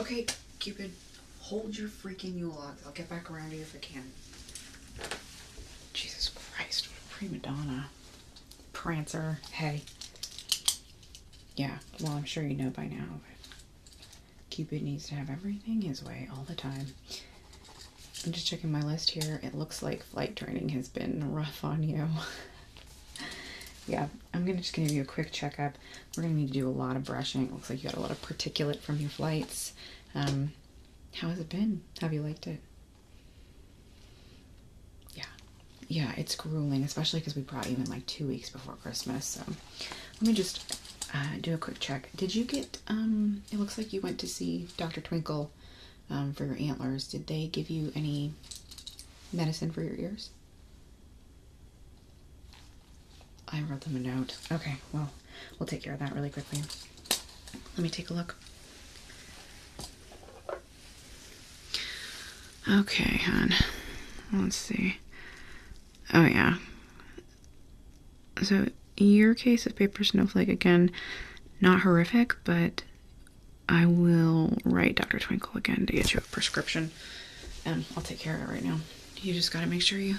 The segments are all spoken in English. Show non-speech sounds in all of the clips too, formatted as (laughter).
Okay, Cupid, hold your freaking Yule log. I'll get back around to you if I can. Jesus Christ, what a prima donna. Prancer, hey. Yeah, well, I'm sure you know by now, Cupid needs to have everything his way all the time. I'm just checking my list here. It looks like flight training has been rough on you. (laughs) yeah, I'm gonna just give you a quick checkup. We're gonna need to do a lot of brushing. looks like you got a lot of particulate from your flights. Um, how has it been? Have you liked it? Yeah, yeah, it's grueling, especially because we brought you in like two weeks before Christmas. So let me just uh, do a quick check. Did you get? Um, it looks like you went to see Dr. Twinkle um, for your antlers. Did they give you any medicine for your ears? I wrote them a note. Okay, well, we'll take care of that really quickly. Let me take a look. Okay, hon. Let's see. Oh, yeah. So, your case of paper snowflake, again, not horrific, but I will write Dr. Twinkle again to get you prescription, and I'll take care of it right now. You just got to make sure you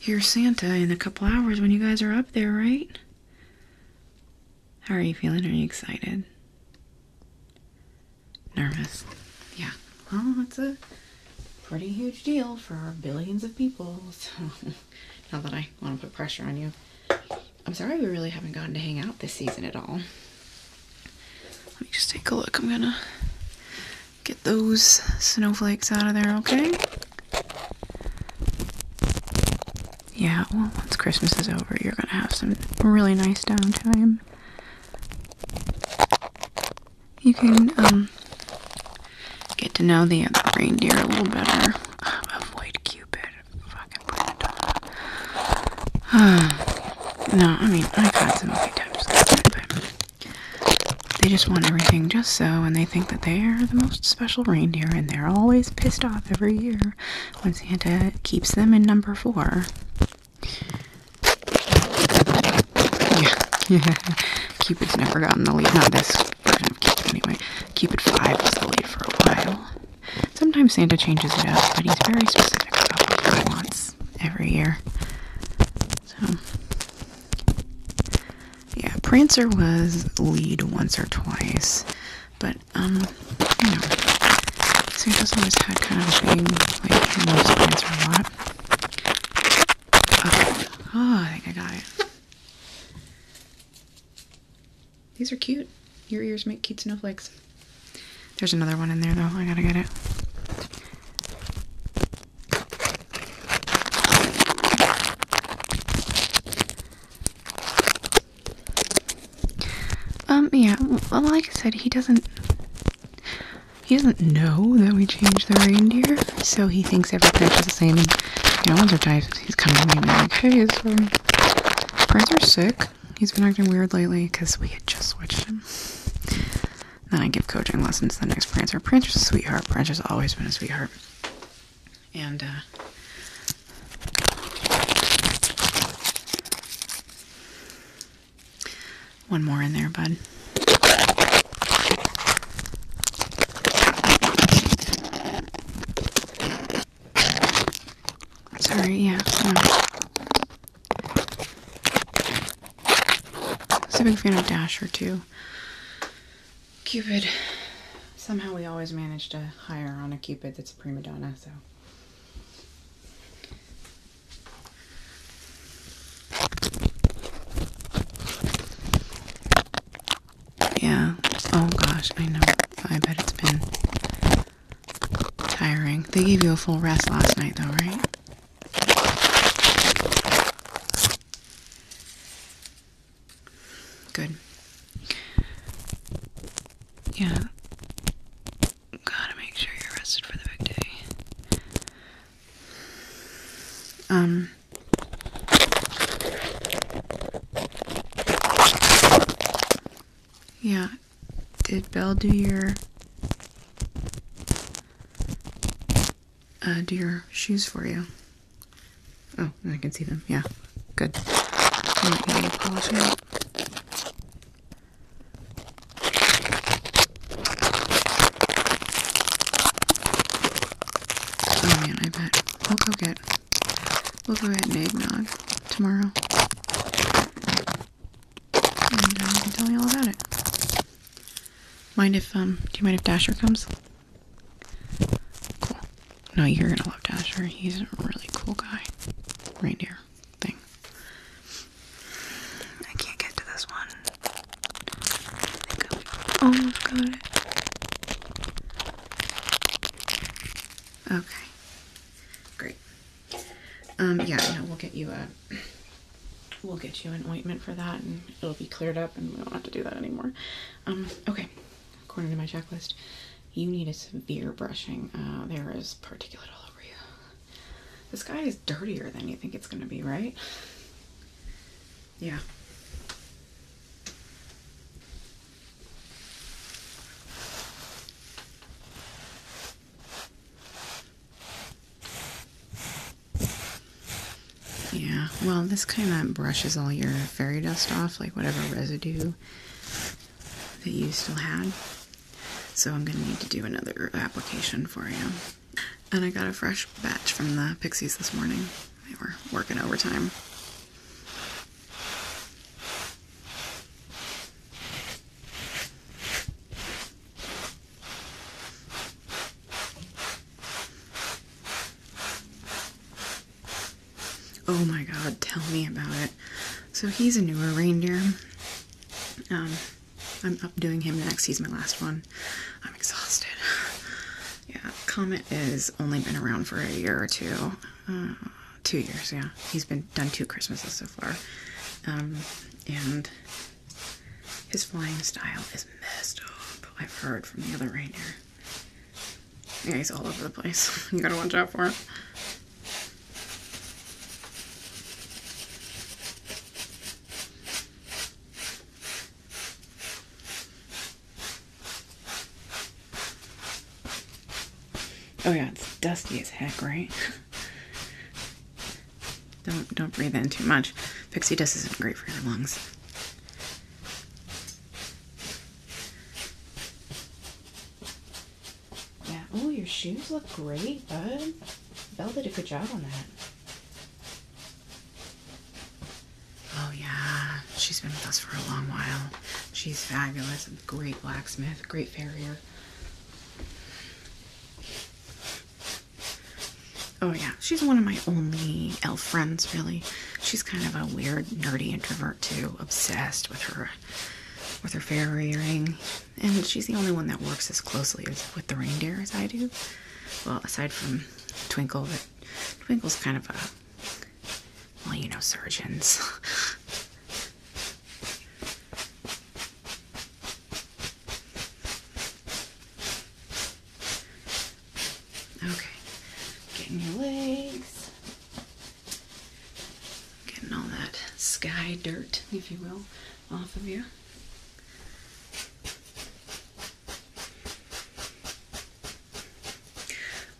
hear Santa in a couple hours when you guys are up there, right? How are you feeling? Are you excited? Nervous? Yeah. Well, that's a pretty huge deal for billions of people, (laughs) Now that I want to put pressure on you. I'm sorry we really haven't gotten to hang out this season at all. Let me just take a look. I'm gonna get those snowflakes out of there, okay? Yeah, well, once Christmas is over, you're gonna have some really nice downtime. You can, um, get to know the other reindeer a little better. (sighs) Avoid Cupid. Fucking (sighs) No, I mean, I've had some okay types but they just want everything just so, and they think that they are the most special reindeer, and they're always pissed off every year when Santa keeps them in number four. Yeah, yeah. (laughs) Cupid's never gotten the lead. Not this version of Cupid, anyway. Cupid 5 was the lead for a while. Sometimes Santa changes it up, but he's very specific about what he wants every year. So, yeah, Prancer was lead once or twice, but um, you know, Santa's always had kind of a thing, like he loves Prancer a lot. Oh, oh, I think I got it. These are cute. Your ears make cute snowflakes. There's another one in there though. I gotta get it. Um, yeah, well, like I said, he doesn't. He doesn't know that we changed the reindeer, so he thinks every is the same. And, you know, once he's come to me and like, hey, his um, friends are sick. He's been acting weird lately because we had just switched him. Then I give coaching lessons the next prince or princess sweetheart. Prince has always been a sweetheart. And, uh, one more in there, bud. Sorry, yeah. I am a big fan of Dasher too. Cupid. Somehow we always manage to hire on a Cupid that's a prima donna, so. Yeah. Oh gosh, I know. I bet it's been tiring. They gave you a full rest last night, though, right? Good. Yeah. Gotta make sure you're rested for the big day. Um. Yeah. Did Belle do your uh, do your shoes for you. Oh, I can see them. Yeah, good. Oh man, I bet. We'll go get, we'll go get eggnog tomorrow. Uh, tell me all about it. Mind if, um, do you mind if Dasher comes? Cool. No, you're gonna love Dasher. He's a really cool guy. Reindeer thing. I can't get to this one. I think I Okay. Great. Um, yeah, no, we'll get you a we'll get you an ointment for that and it'll be cleared up and we don't have to do that anymore. Um, okay, according to my checklist, you need a severe brushing. Uh, there is particulate all over you. This guy is dirtier than you think it's going to be, right? Yeah. Yeah, well, this kind of brushes all your fairy dust off, like whatever residue that you still had. So I'm going to need to do another application for you. And I got a fresh batch from the Pixies this morning. They were working overtime. Oh my god, tell me about it. So he's a newer reindeer. Um, I'm up doing him next. He's my last one. I'm exhausted. Yeah, Comet has only been around for a year or two. Uh, two years, yeah. He's been done two Christmases so far. Um, and his flying style is messed up. I've heard from the other reindeer. Yeah, he's all over the place. (laughs) you gotta watch out for him. Oh yeah, it's dusty as heck, right? (laughs) don't don't breathe in too much. Pixie dust isn't great for your lungs. Yeah. Oh, your shoes look great, bud. Belle did a good job on that. Oh yeah, she's been with us for a long while. She's fabulous, great blacksmith, great farrier. Oh yeah, she's one of my only elf friends, really. She's kind of a weird, nerdy introvert too, obsessed with her with her fairy ring. And she's the only one that works as closely with the reindeer as I do. Well, aside from Twinkle, but Twinkle's kind of a well, you know, surgeons. (laughs) Okay, getting your legs, getting all that sky dirt, if you will, off of you.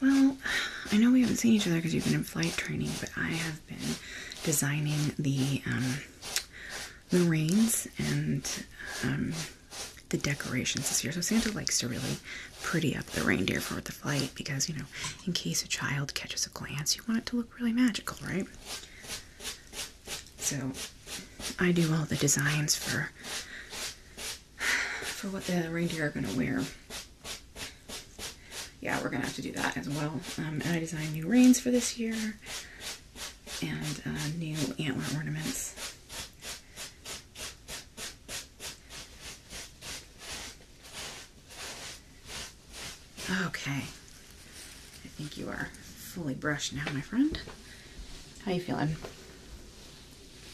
Well, I know we haven't seen each other because you've been in flight training, but I have been designing the um, reins and um, the decorations this year. So Santa likes to really pretty up the reindeer for the flight because, you know, in case a child catches a glance, you want it to look really magical, right? So I do all the designs for for what the reindeer are going to wear. Yeah, we're going to have to do that as well. Um, and I design new reins for this year and uh, new antler ornaments. Okay, I think you are fully brushed now, my friend. How you feeling?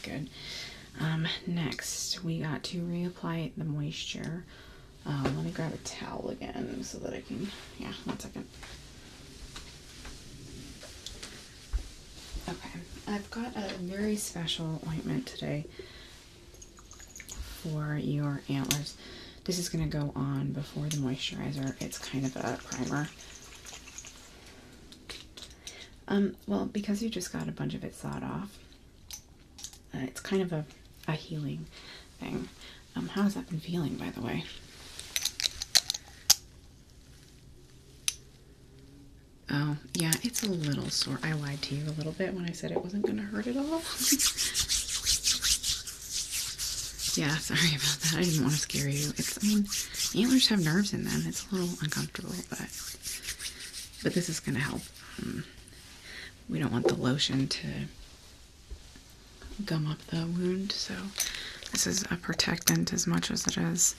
Good. Um, next, we got to reapply the moisture. Um, let me grab a towel again so that I can, yeah, one second. Okay, I've got a very special ointment today for your antlers. This is going to go on before the moisturizer. It's kind of a primer. Um, well, because you just got a bunch of it sawed off, uh, it's kind of a, a healing thing. Um, how's that been feeling, by the way? Oh, yeah, it's a little sore. I lied to you a little bit when I said it wasn't going to hurt at all. (laughs) yeah, sorry about that. I didn't want to scare you. antlers have nerves in them. It's a little uncomfortable, but but this is going to help. Um, we don't want the lotion to gum up the wound. So this is a protectant as much as it is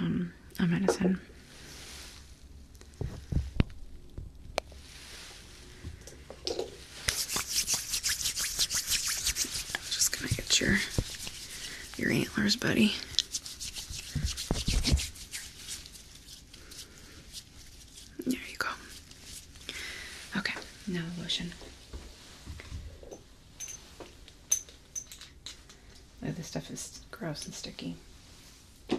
um, a medicine. I'm just gonna get your your antlers, buddy. There you go. Okay, now the lotion this stuff is gross and sticky. Yeah,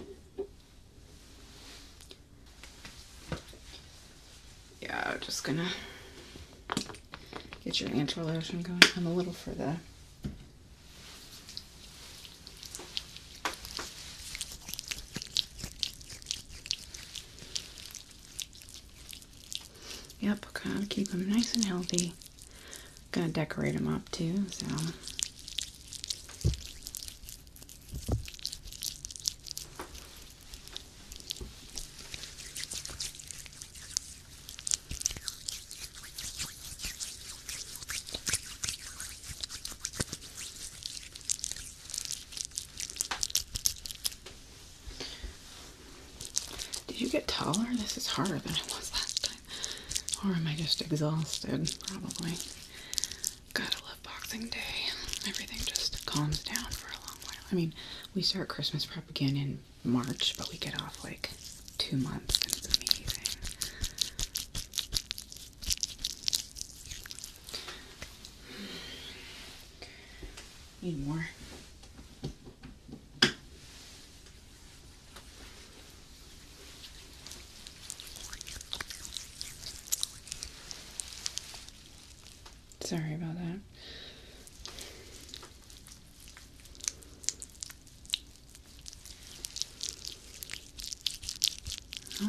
I'm just gonna get your antler lotion going. I'm a little for the Yep, gotta keep them nice and healthy. Gonna decorate them up too, so. Did you get taller? This is harder than it was last time. Or am I just exhausted? Probably. Gotta love Boxing Day. Everything just calms down for a long while. I mean, we start Christmas prep again in March, but we get off like two months. And it's amazing. Need more. Sorry about that.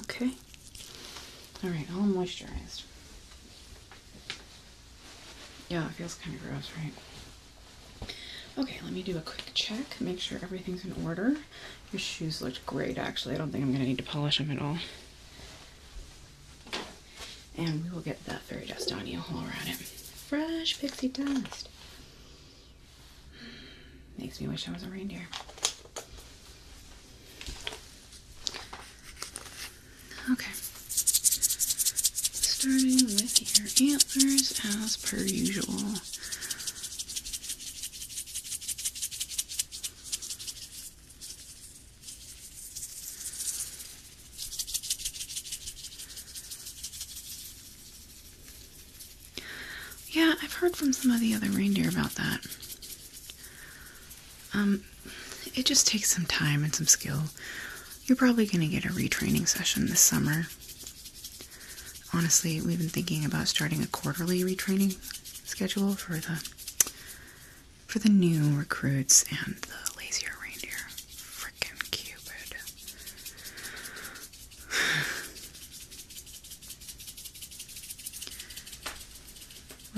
Okay. All right, all moisturized. Yeah, it feels kind of gross, right? Okay, let me do a quick check, make sure everything's in order. Your shoes looked great, actually. I don't think I'm going to need to polish them at all. And we will get that fairy dust on you while around it. Fresh pixie dust. Makes me wish I was a reindeer. Okay. Starting with your antlers as per usual. Yeah, I've heard from some of the other reindeer about that. Um, it just takes some time and some skill. You're probably going to get a retraining session this summer. Honestly, we've been thinking about starting a quarterly retraining schedule for the for the new recruits and the lazier reindeer. Frickin' Cupid.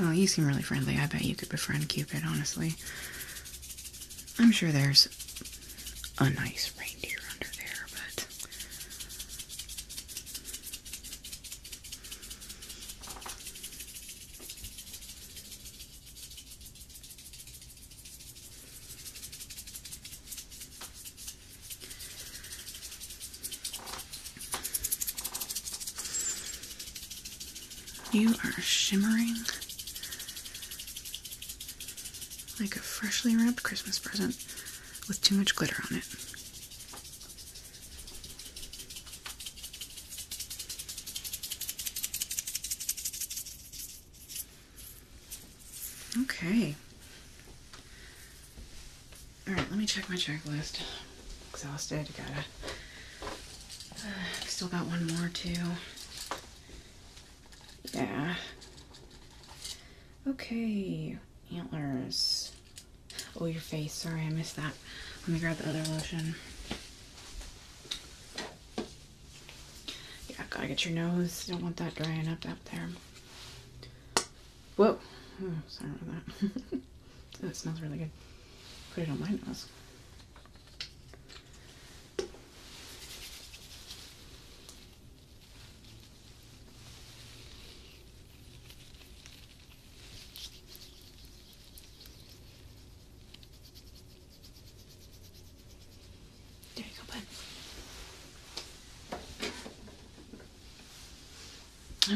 (sighs) well, you seem really friendly. I bet you could befriend Cupid, honestly. I'm sure there's a nice reindeer under there, but you are shimmering like a freshly wrapped Christmas present with too much glitter on it. Okay. Alright, let me check my checklist. Exhausted, gotta still got one more too. Yeah. Okay, antlers. Oh, your face. Sorry, I missed that. Let me grab the other lotion. Yeah, gotta get your nose. Don't want that drying up up there. Whoa. Oh, sorry about that. (laughs) That smells really good. Put it on my nose. There you go, bud.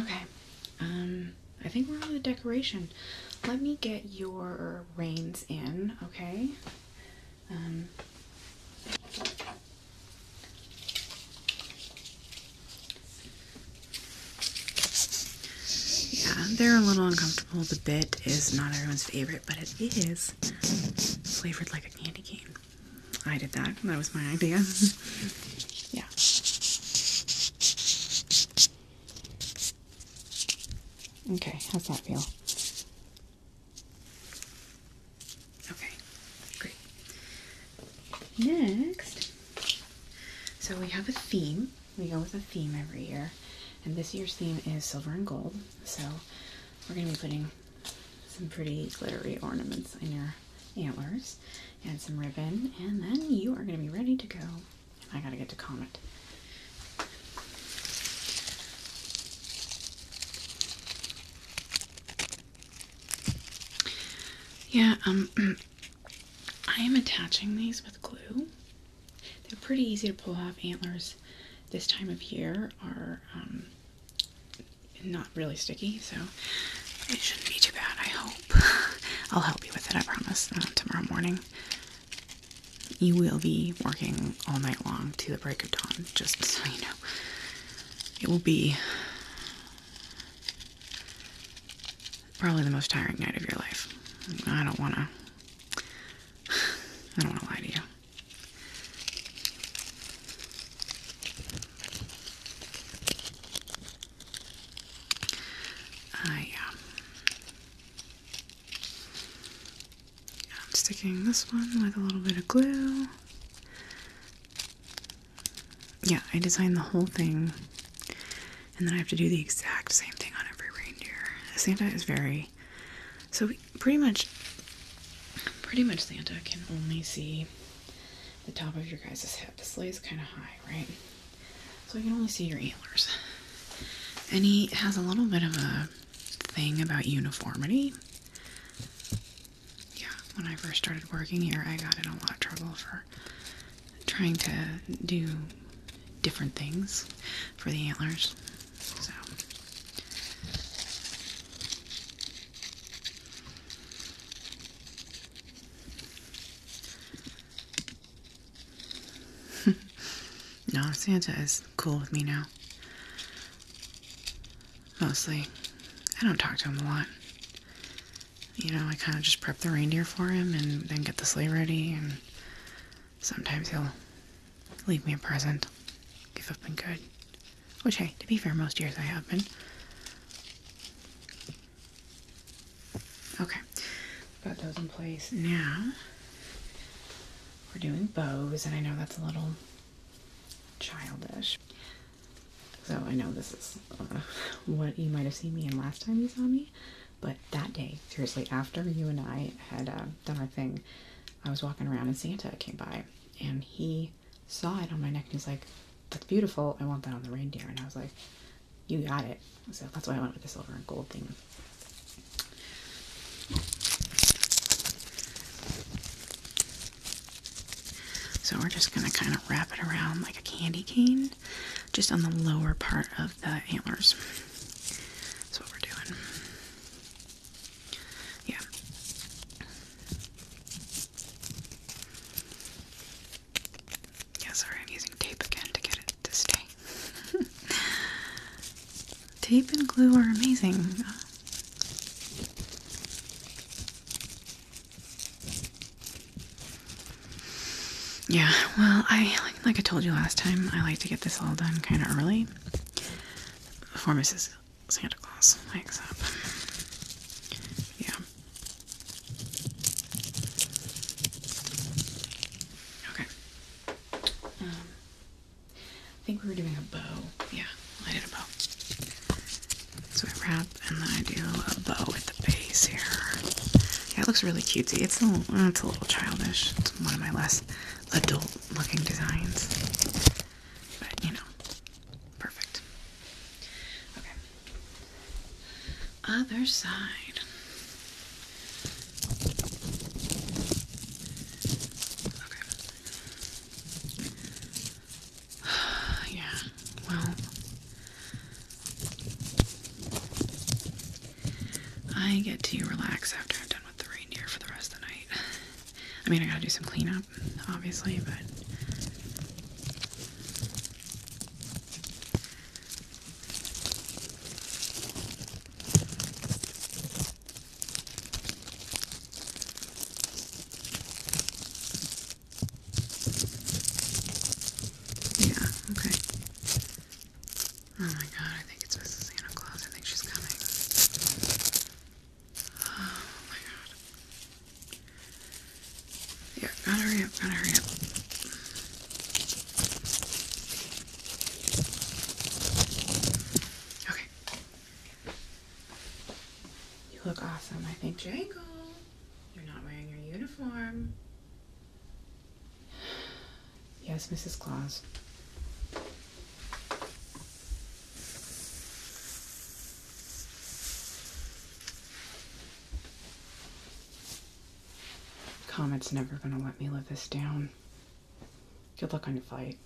Okay. Um, I think we're on the decoration. Let me get your your reins in, okay? Um, yeah, they're a little uncomfortable. The bit is not everyone's favorite, but it is flavored like a candy cane. I did that. That was my idea. (laughs) yeah. Okay, how's that feel? Okay, great. Next, so we have a theme. We go with a theme every year, and this year's theme is silver and gold. So we're going to be putting some pretty glittery ornaments on your antlers and some ribbon, and then you are going to be ready to go I gotta get to comment. Yeah, um, (clears throat) I am attaching these with glue. They're pretty easy to pull off. Antlers this time of year are um, not really sticky, so it shouldn't be too bad, I hope. (laughs) I'll help you with it, I promise, uh, tomorrow morning you will be working all night long to the break of dawn, just so you know. It will be probably the most tiring night of your life. I don't want to. I don't want to lie to you. Uh, I'm sticking this one with a little bit of glue. Yeah, I designed the whole thing, and then I have to do the exact same thing on every reindeer. Santa is very so we pretty much, pretty much Santa can only see the top of your guys' head. This sleigh kind of high, right? so you can only see your antlers. And he has a little bit of a thing about uniformity. Yeah, when I first started working here, I got in a lot of trouble for trying to do different things for the antlers. So. (laughs) no, Santa is cool with me now. Mostly. I don't talk to him a lot. You know, I kind of just prep the reindeer for him and then get the sleigh ready, and sometimes he'll leave me a present if I've been good. Which, hey, to be fair, most years I have been. Okay, got those in place now we're doing bows, and I know that's a little childish. So I know this is uh, what you might have seen me in last time you saw me, but that day, seriously, after you and I had uh, done our thing, I was walking around and Santa came by, and he saw it on my neck and he's like, "That's beautiful. I want that on the reindeer." And I was like, "You got it." So that's why I went with the silver and gold theme. So we're just going to kind of wrap it around like a candy cane, just on the lower part of the antlers. That's what we're doing. Yeah. Yeah, sorry, I'm using tape again to get it to stay. (laughs) Tape and glue are amazing. Yeah, well, I like, I told you last time, I like to get this all done kind of early before Mrs. Santa Claus wakes up. Yeah. Okay. Um, I think we were doing a bow. Yeah, I did a bow. So I wrap and then I do a bow at the base here. Yeah, it looks really cutesy. It's a little, mm, it's a little childish. It's one of my less adult-looking designs. But, you know, perfect. Okay. Other side. Okay. (sighs) yeah, well, I get to relax after I'm done with the reindeer for the rest of the night. (sighs) I mean, I gotta do some cleanup, obviously, but. Yeah, okay. Oh my god, I think it's Mrs. Santa Claus. I think she's coming. Oh my god. Yeah, gotta hurry up, gotta hurry up. Okay. You look awesome. I think Jangle, you're not wearing your uniform. Yes, Mrs. Claus. Comet's never gonna let me live this down. Good luck on your fight.